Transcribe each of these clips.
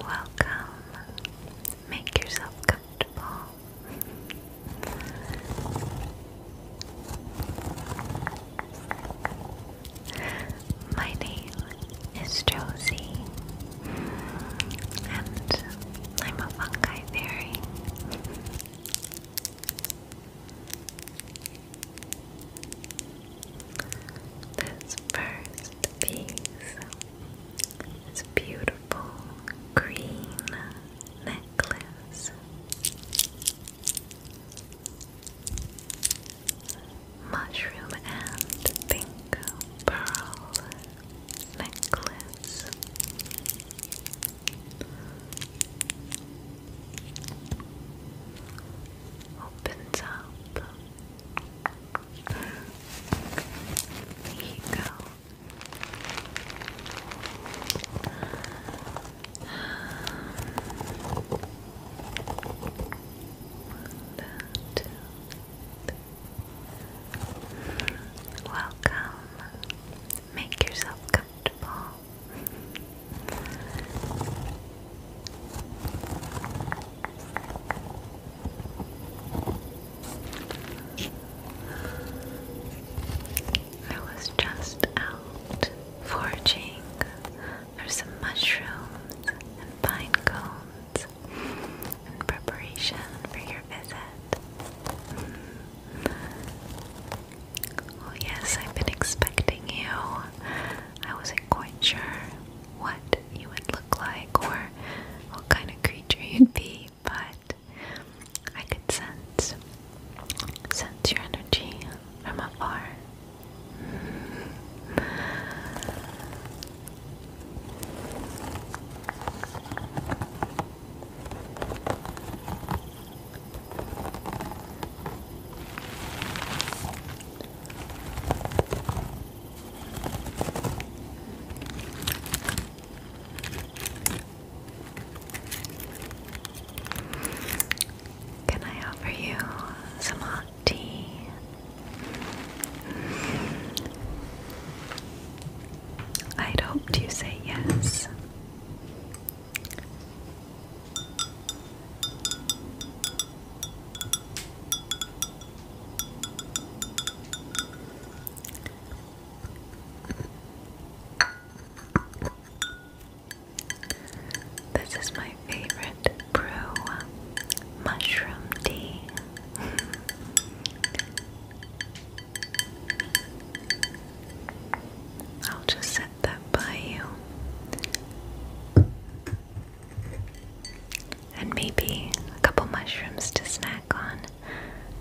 Welcome. Make yourself comfortable. My name is Josie, and I'm a fungi fairy. This first piece is a beautiful green necklace. Mushroom and pink pearl necklace opens up. There you go. That. Welcome. Make yourself comfortable comfortable. I was just out foraging for some mushrooms and pine cones in preparation for your visit. Oh, yes, I've been expecting you. I wasn't quite sure what you would look like or what kind of creature you'd be, but I could sense sense your energy from afar. Can I offer you some hot tea? I'd hoped you say yes. This is my favorite brew mushroom tea. I'll just run that by you. And maybe a couple mushrooms to snack on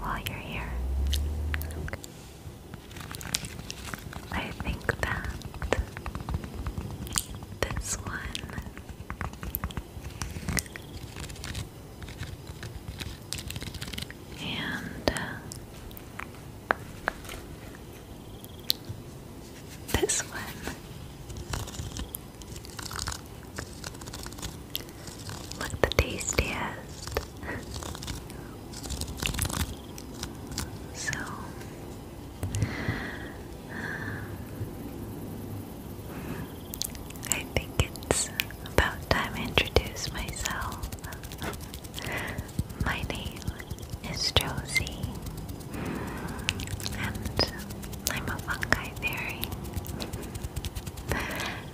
while you're here. I think that this one and uh, this one look the tastiest. so I think it's about time I introduce myself. My name is Josie, and I'm a fungi fairy.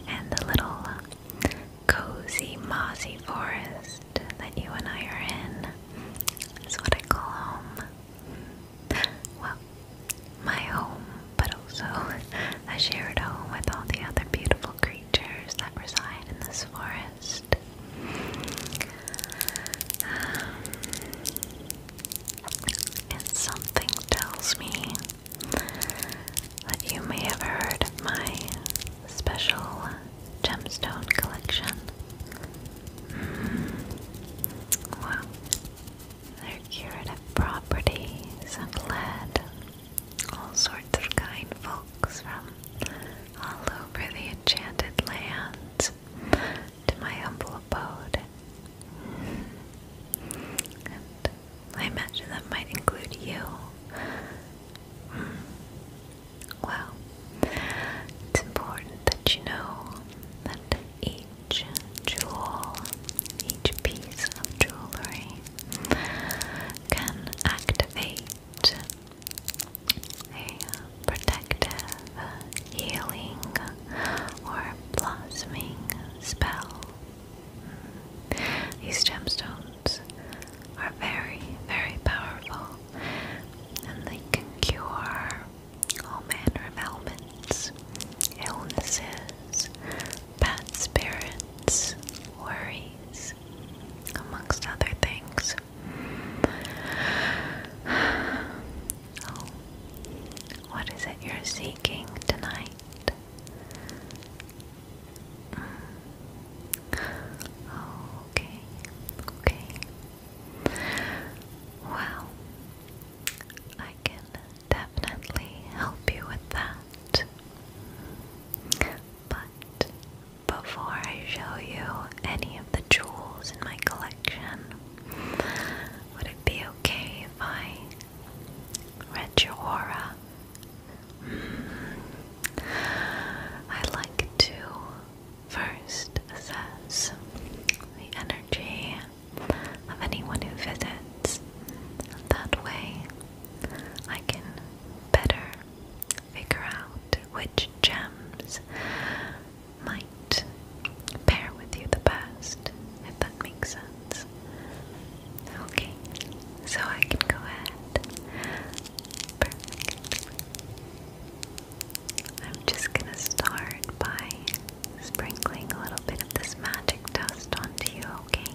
and the little cozy, mossy forest that you and I are in is what I call home. Well, my home, but also a shared home with all the other beautiful creatures that reside in this forest rest. Um, and something tells me that you may have heard of my special gemstone collection. Hmm. Well, they're curative properties and lead all sorts of kind folks from all over the enchanted lands to my humble abode. And I imagine that might include you. Hmm. Well, it's important that you know that each jewel, each piece of jewelry, can activate a protective, healing, or blossoming spell. These gemstones are very, very powerful and they can cure all manner of ailments, illnesses, bad spirits, worries, amongst other things. what is it you're seeking tonight? Mm. okay, okay. Well, I can definitely help you with that. But before I show you any of the jewels in my collection. Would it be okay if I read your aura? Mm. I like to first assess the energy of anyone who visits. That way, I can better figure out which gems might pair with you the best, if that makes sense. Okay, so I can go ahead. Perfect. I'm just gonna start by sprinkling a little bit of this magic dust onto you, okay?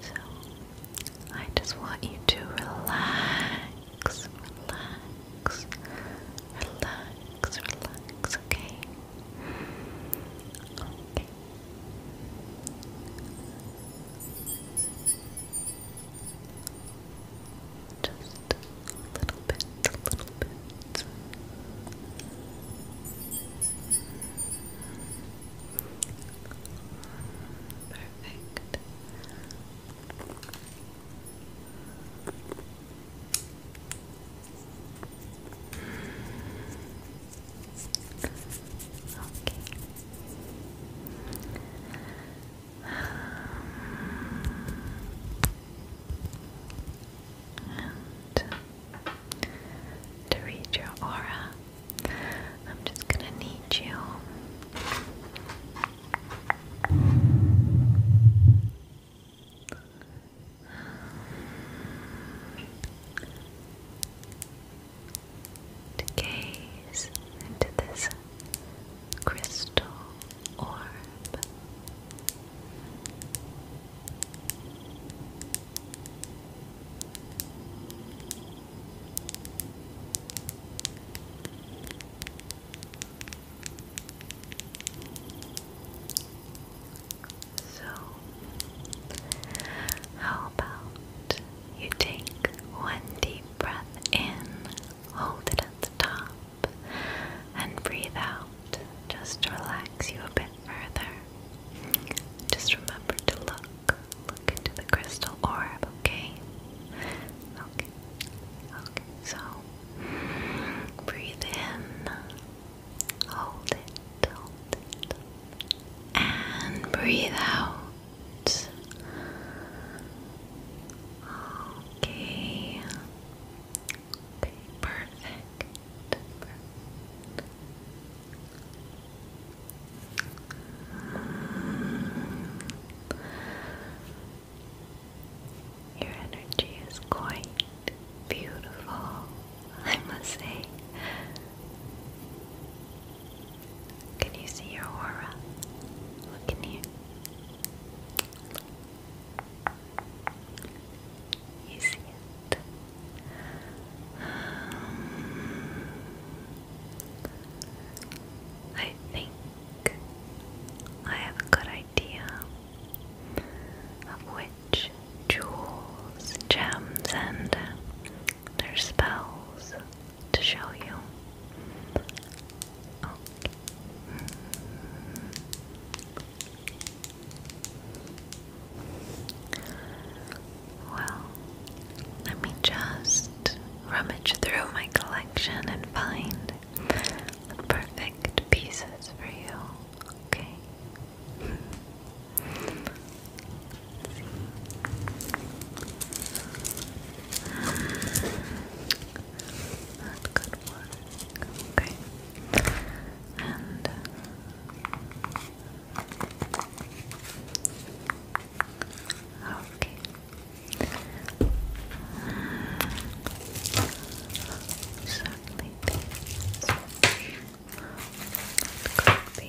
So I just want you to relax, relax, relax, relax, okay? Okay. Just a little bit, a little bit. Perfect. Okay to read your aura, I'm just going to need you to gaze into this crystal orb. So, how about you take one deep breath in, hold it at the top, and breathe out. Just relax you a bit further. Just remember to look, look into the crystal orb, okay? Okay, okay, so breathe in, hold it, hold it, and breathe out sounds. Okay. Okay, perfect. Your energy is quite beautiful, I must say. Can you see your aura? Look in here. You see it. Um, I think I have a good idea of which jewels, gems, and there's spells to show you. Oh. Well, let me just rummage through my collection and find the perfect pieces for you. Okay. That could work. Uh, okay. And okay. Certainly, this could be.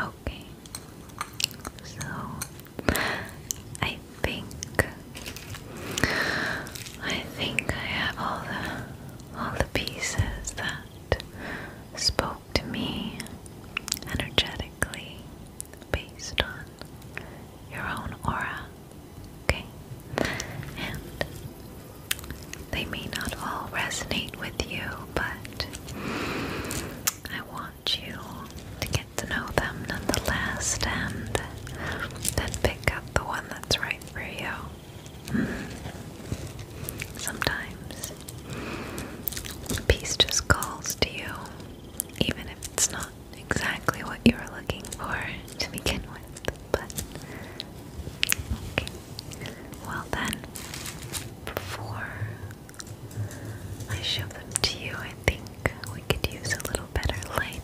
Okay, so I think I think I have all the all the pieces that spoke to me energetically based on your own aura. Okay, and they may not all resonate with you, but I want you to get to know them nonetheless and then pick up the one that's right for you. Mm -hmm. Sometimes peace just calls to you, even if it's not exactly what you were looking for to begin with, but okay. Well then, before I show them to you, I think we could use a little better lighting.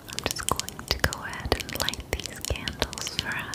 I'm just going to go ahead and light these candles for us.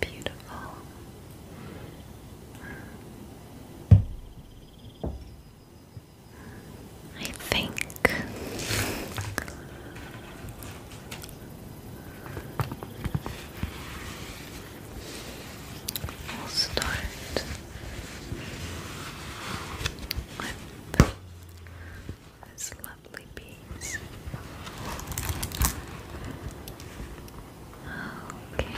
Beautiful. I think we'll start with this lovely piece. Okay.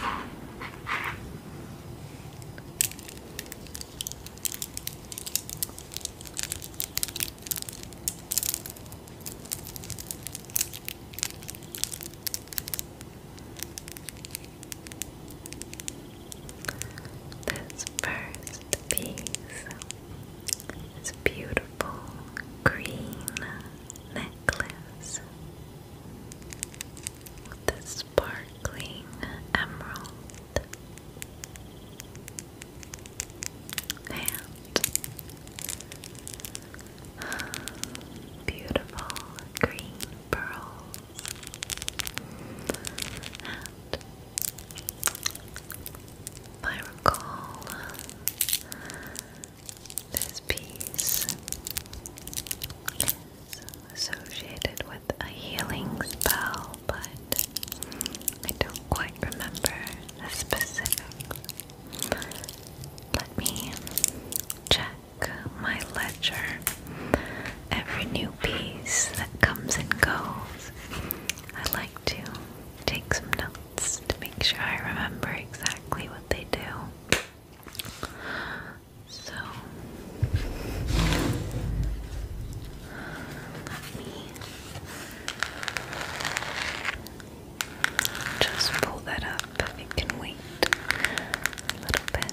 This first piece is a beautiful green necklace with a sparkling emerald. And beautiful green pearls I recall this piece is associated with a healing spell, but I don't quite remember the specific. Let me check my ledger. Every new piece that comes and goes, I like to take some notes to make sure I remember exactly what they do. So, let me just pull that up. It can wait a little bit.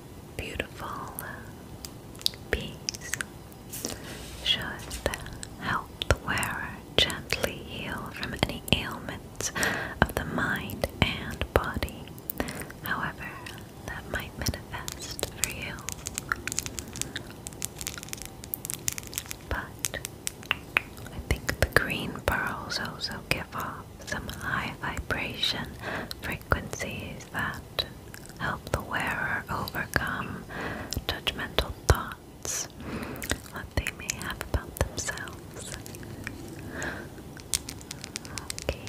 beautiful beads uh, should uh, help the wearer gently heal from any ailments of the mind and body, however, that might manifest for you. But I think the green pearls also give off some high vibration frequencies that Help the wearer overcome judgmental thoughts that they may have about themselves. Okay.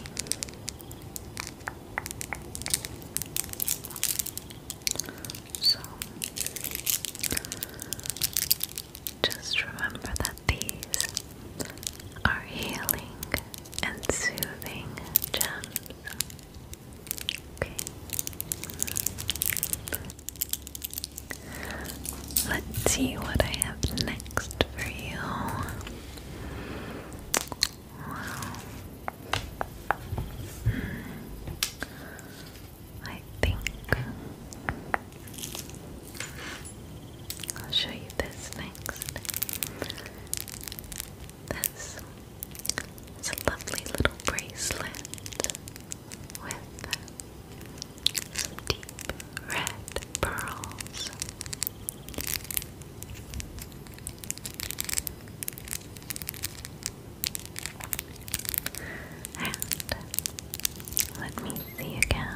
So, just remember that these are healing and soothing chant. Okay. Let's see what I have next for you. Wow. Hmm. I think I'll show you this next. This is a lovely little bracelet with some deep red pearls. And let me see again.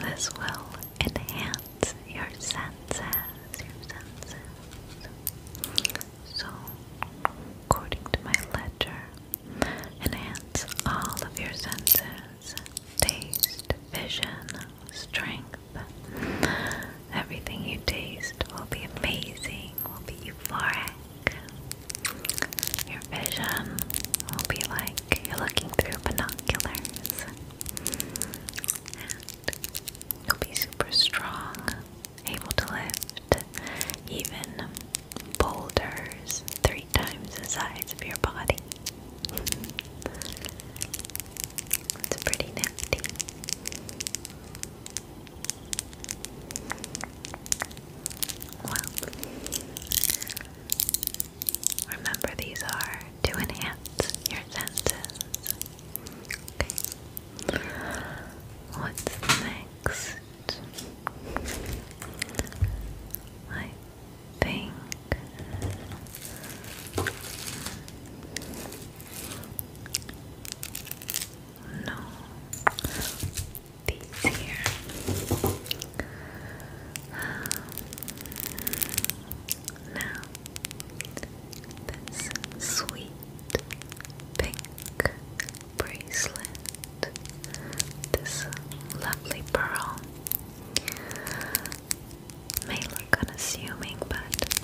This will enhance your senses, your senses. So, according to my ledger, enhance all of your senses: taste, vision, strength. Everything you taste will be amazing, will be euphoric. Your vision will be like you're looking through binoculars. And you'll be super strong, able to lift even boulders three times the size of your body. it's pretty nifty. Well, remember these are to enhance your senses. What's next? I think no these here. Um, now, this sweet pink bracelet, this lovely pearl, may look unassuming, but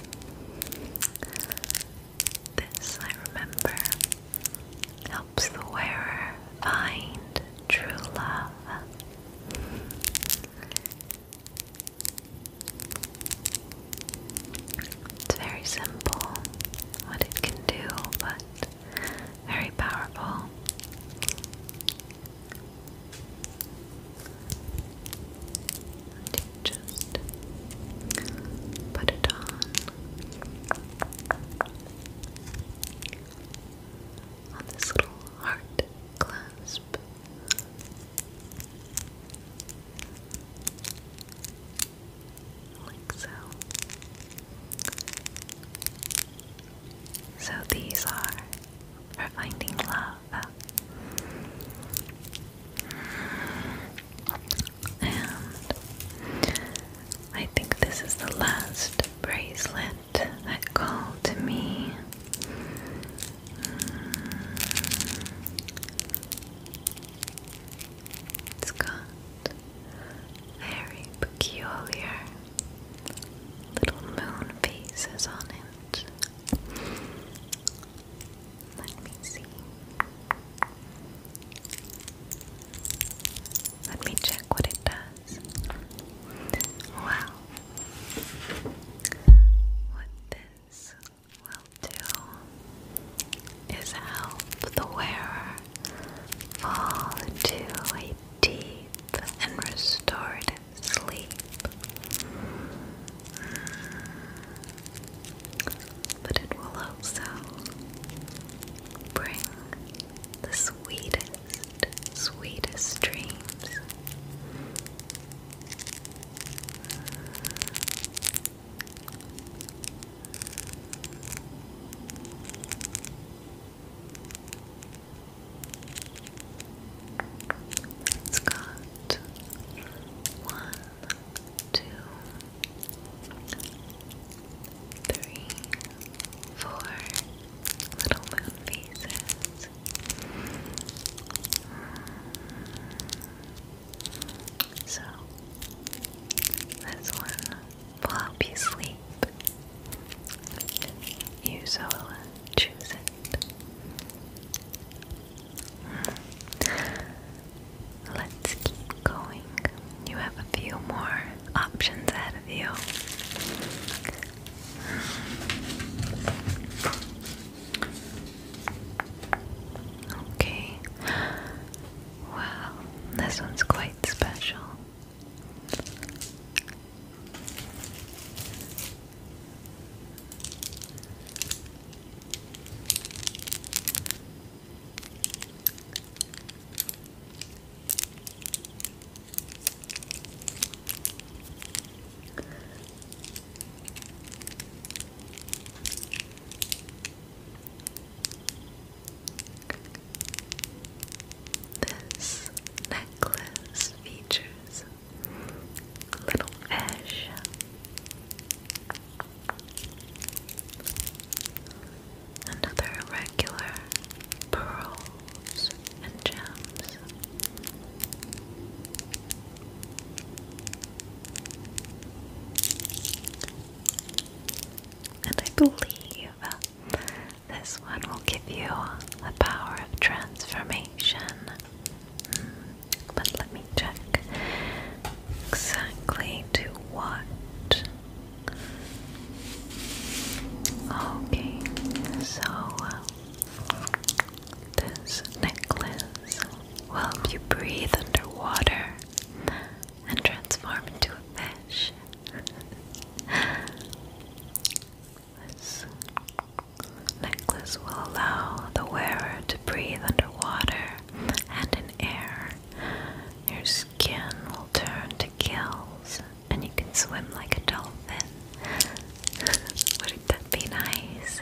this I remember helps the wearer find true love. It's very simple what it can do, but very powerful. you just put it on on this little heart clasp. Like so. So these are for finding love. And I think this is the last bracelet that called to me. Mm. It's got very peculiar little moon pieces on it. Let me see. Let me check what it does was. What this will do is help the wearer fall into a deep and restored sleep. But it will also bring the sweetest, sweetest dreams. It's got one, two, three, four little moon pieces. So, this one will help you sleep. You so choose it. Let's keep going. You have a few more options ahead of you. Okay. Wow, this one's quite special. This necklace features little fish and other pearls and gems. And I believe this one will give you the power of transformation. Hmm, but let me check exactly to what Okay, so this necklace will help you breathe underwater and transform into a fish. this necklace will allow the wearer to breathe underwater and in air. Your skin will turn to gills and you can swim like a dolphin. Wouldn't that be nice?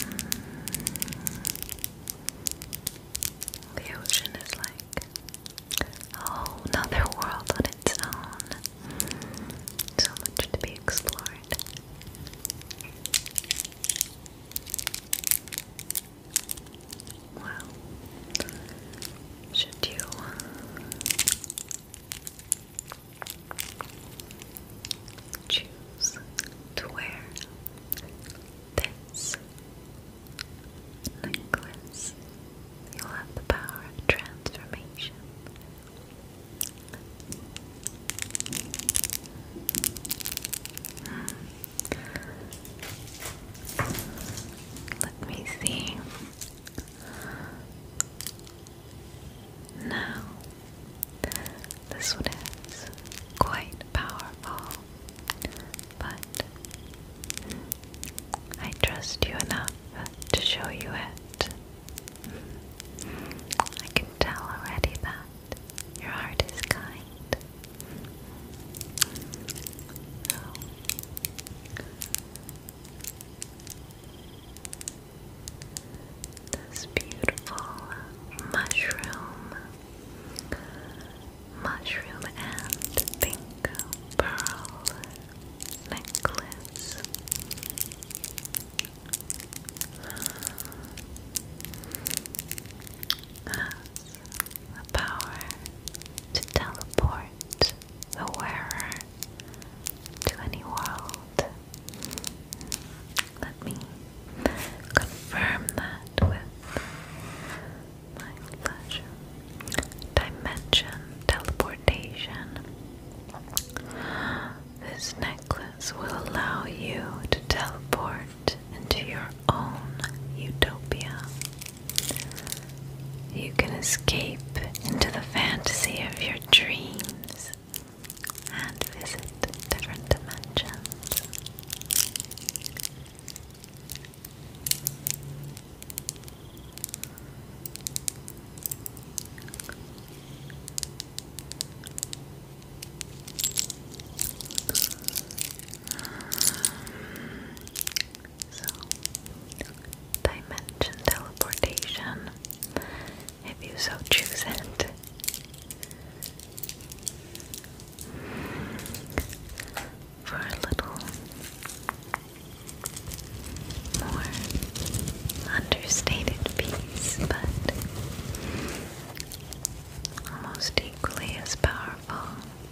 Hmm. The ocean is like a another world on its own. So much to be explored. Wow. Should you choose to wear this necklace, you'll have the power of transformation. Hmm. Let me see. Now, this one is quite powerful, but I trust you enough to show you it. I can tell already that your heart is kind now, this beautiful mushroom, mushroom and pink pearl necklace. Has power to teleport the wearer to any world. Let me confirm that with my pleasure. Dimension teleportation. This necklace will allow you to teleport into your own utopia. You can escape into the fantasy of your dreams and visit different dimensions. So, dimension teleportation, if you so choose it. For a little more understated piece, but almost equally as powerful.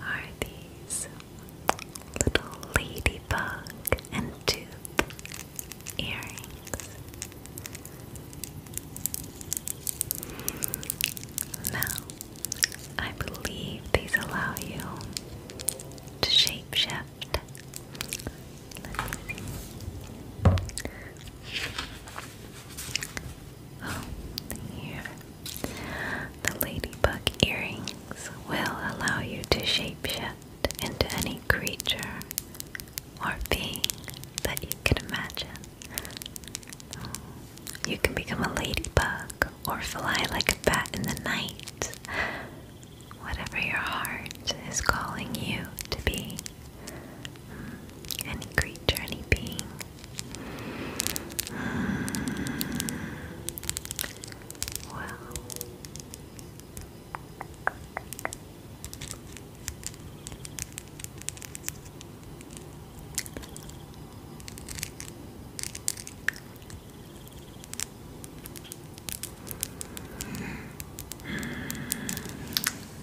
are these little ladybug and tooth earrings. Now, I believe these allow you to shapeshift. Oh, here. The ladybug earrings will allow you to shapeshift into any creature or being that you can imagine. You can become a ladybug or fly like a bat in the night. Whatever your heart is calling you to be. Hmm, any creature, any being. Hmm, well.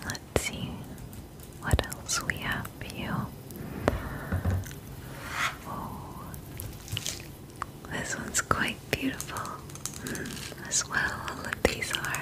Let's see what else we have for Oh, this one's quite beautiful mm, as well. All these are.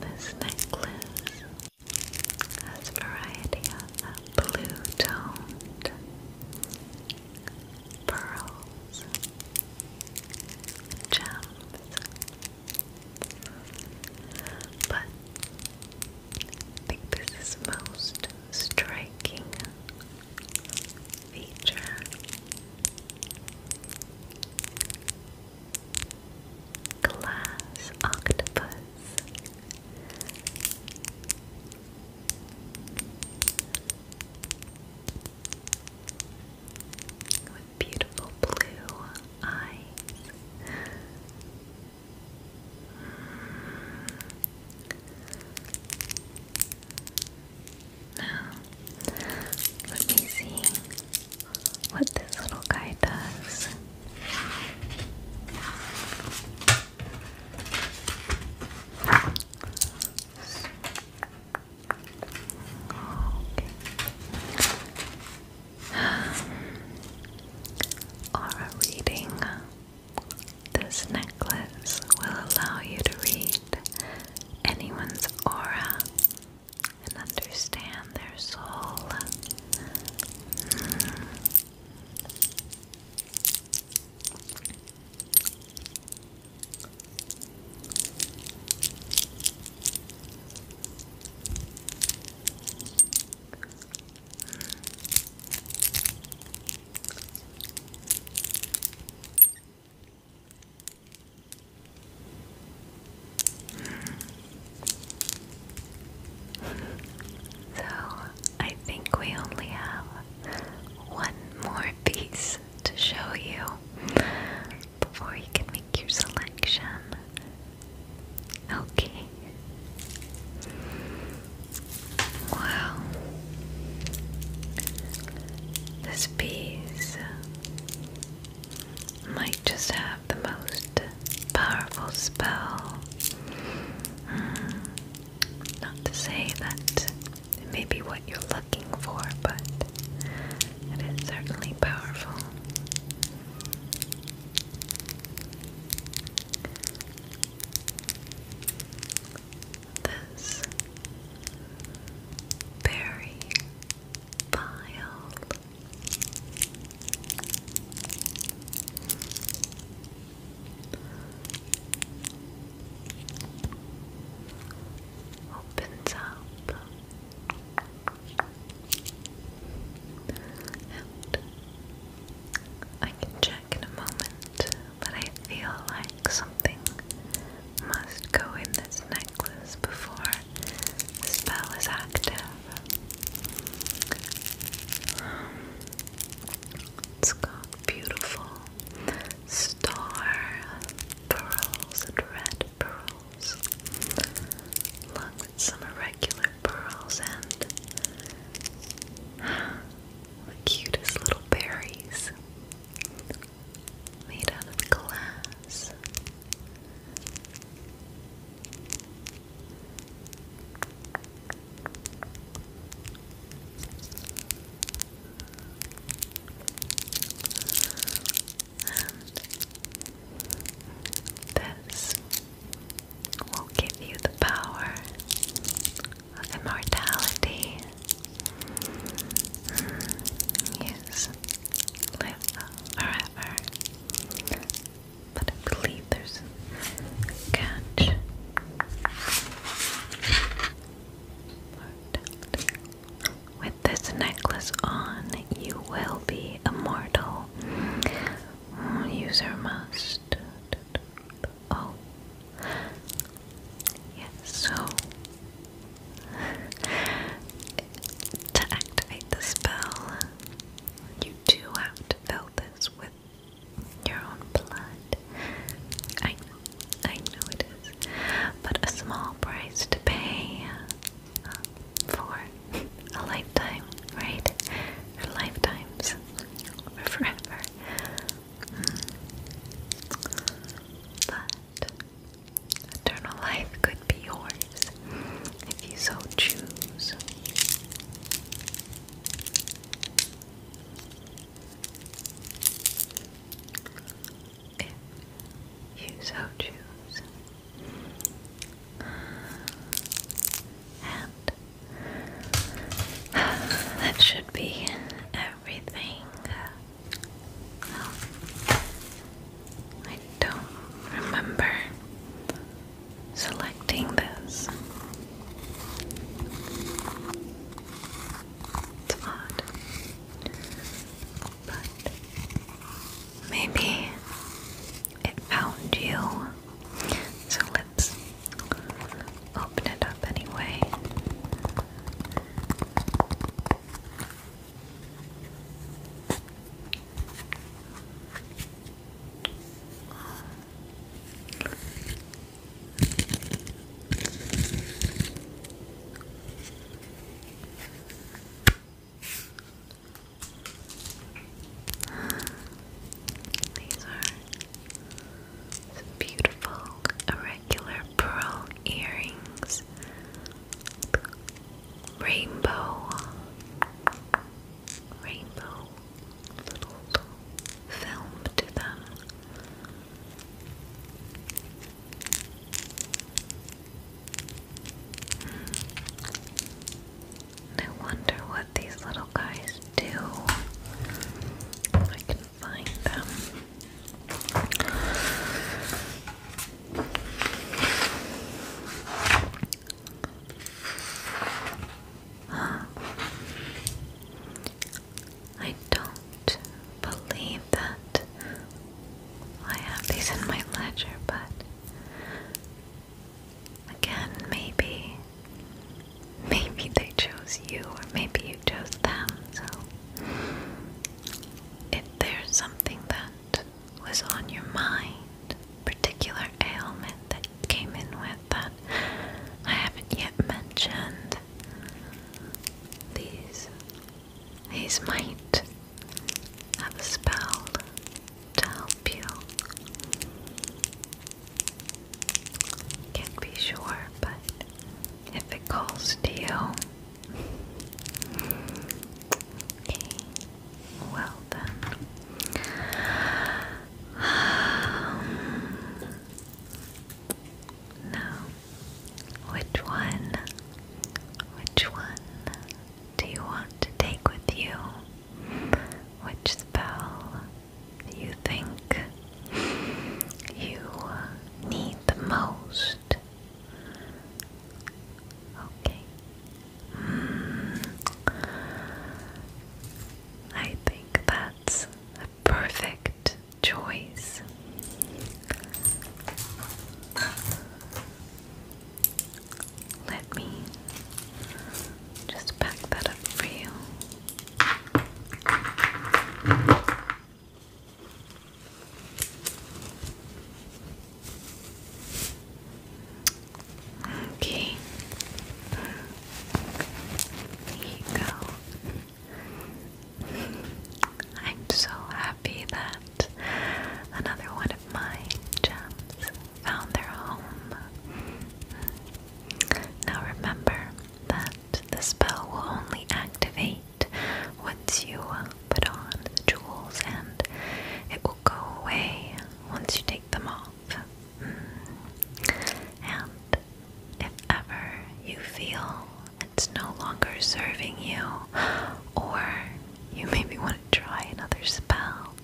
This necklace has a variety of blue toned pearls, gems, but think this is most striking feature. Glass octopus. With beautiful blue eyes. Now, let me see what this little guy does. Okay. Aura reading. This necklace will allow you to read anyone's aura and understand their soul. So I think we only have one more piece to show you before you can make your selection. Okay. Wow. This as might just have the most powerful spell. Hmm. Not to say that it may be what you're looking for, but it is certainly powerful this berry pile. Opens up and I can check in a moment, but I feel like something must go in this necklace before the spell is active. Um, it's got beautiful star pearls and red pearls, along with some irregular pearls and the cutest little berries made out of glass. this will give you the power of immortality. Yes, live forever. But I catch. With this necklace on, you will be immortal. Mm, user must. Oh. Yes, so to activate the spell, you do have to fill this with your own blood. I I know it is, but a small price to pay um, for a lifetime, right? For lifetimes, or forever. Hmm. But Eternal life could be yours if you so choose. If you so choose. And that should be everything I don't remember selecting this. It's odd. But maybe it found you. So let's open it up anyway. These are beautiful irregular pearl earrings rainbow, rainbow little film to them. I hmm. wonder what these little guys do find them. I don't believe that I have these in my ledger, but again, maybe, maybe they chose you, or maybe you chose them. So, if there's something that was on your mind, particular ailment that came in with that I haven't yet mentioned, these these might have a spell to help you. Can't be sure, but if it calls to you, Okay, well then. Um, which one, which one do you want to take with you? Which spell do you think you need the most? Okay. Mm. I think that's a perfect choice. Let me just pack that up for you. Okay. There you go. I'm so happy that another one of my gems found their home. Now remember that the spell will only activate once you uh, put on the jewels, and it will go away once you take them off. Hmm. And if ever you feel it's no longer serving you, or you maybe want to try another spell,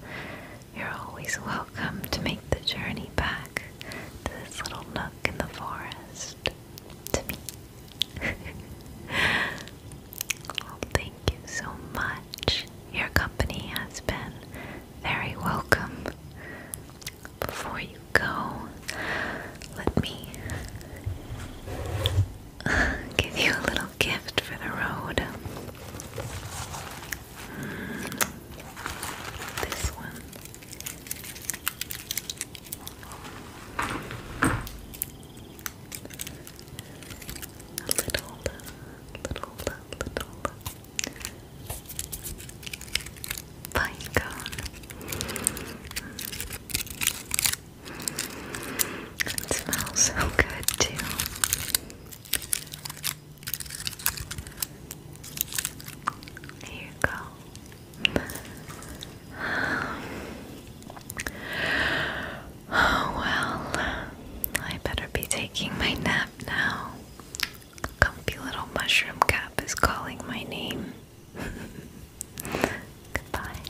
you're always welcome to make the journey back to this little nook in the forest to me. thank you so much. Your company has been very welcome. Before you go, let me give you a little gift for the road. Hmm, this one. A little, little, little pine It smells so good too. Here you go. Oh well, I better be taking my nap now. Comfy little mushroom cap is calling my name. Goodbye.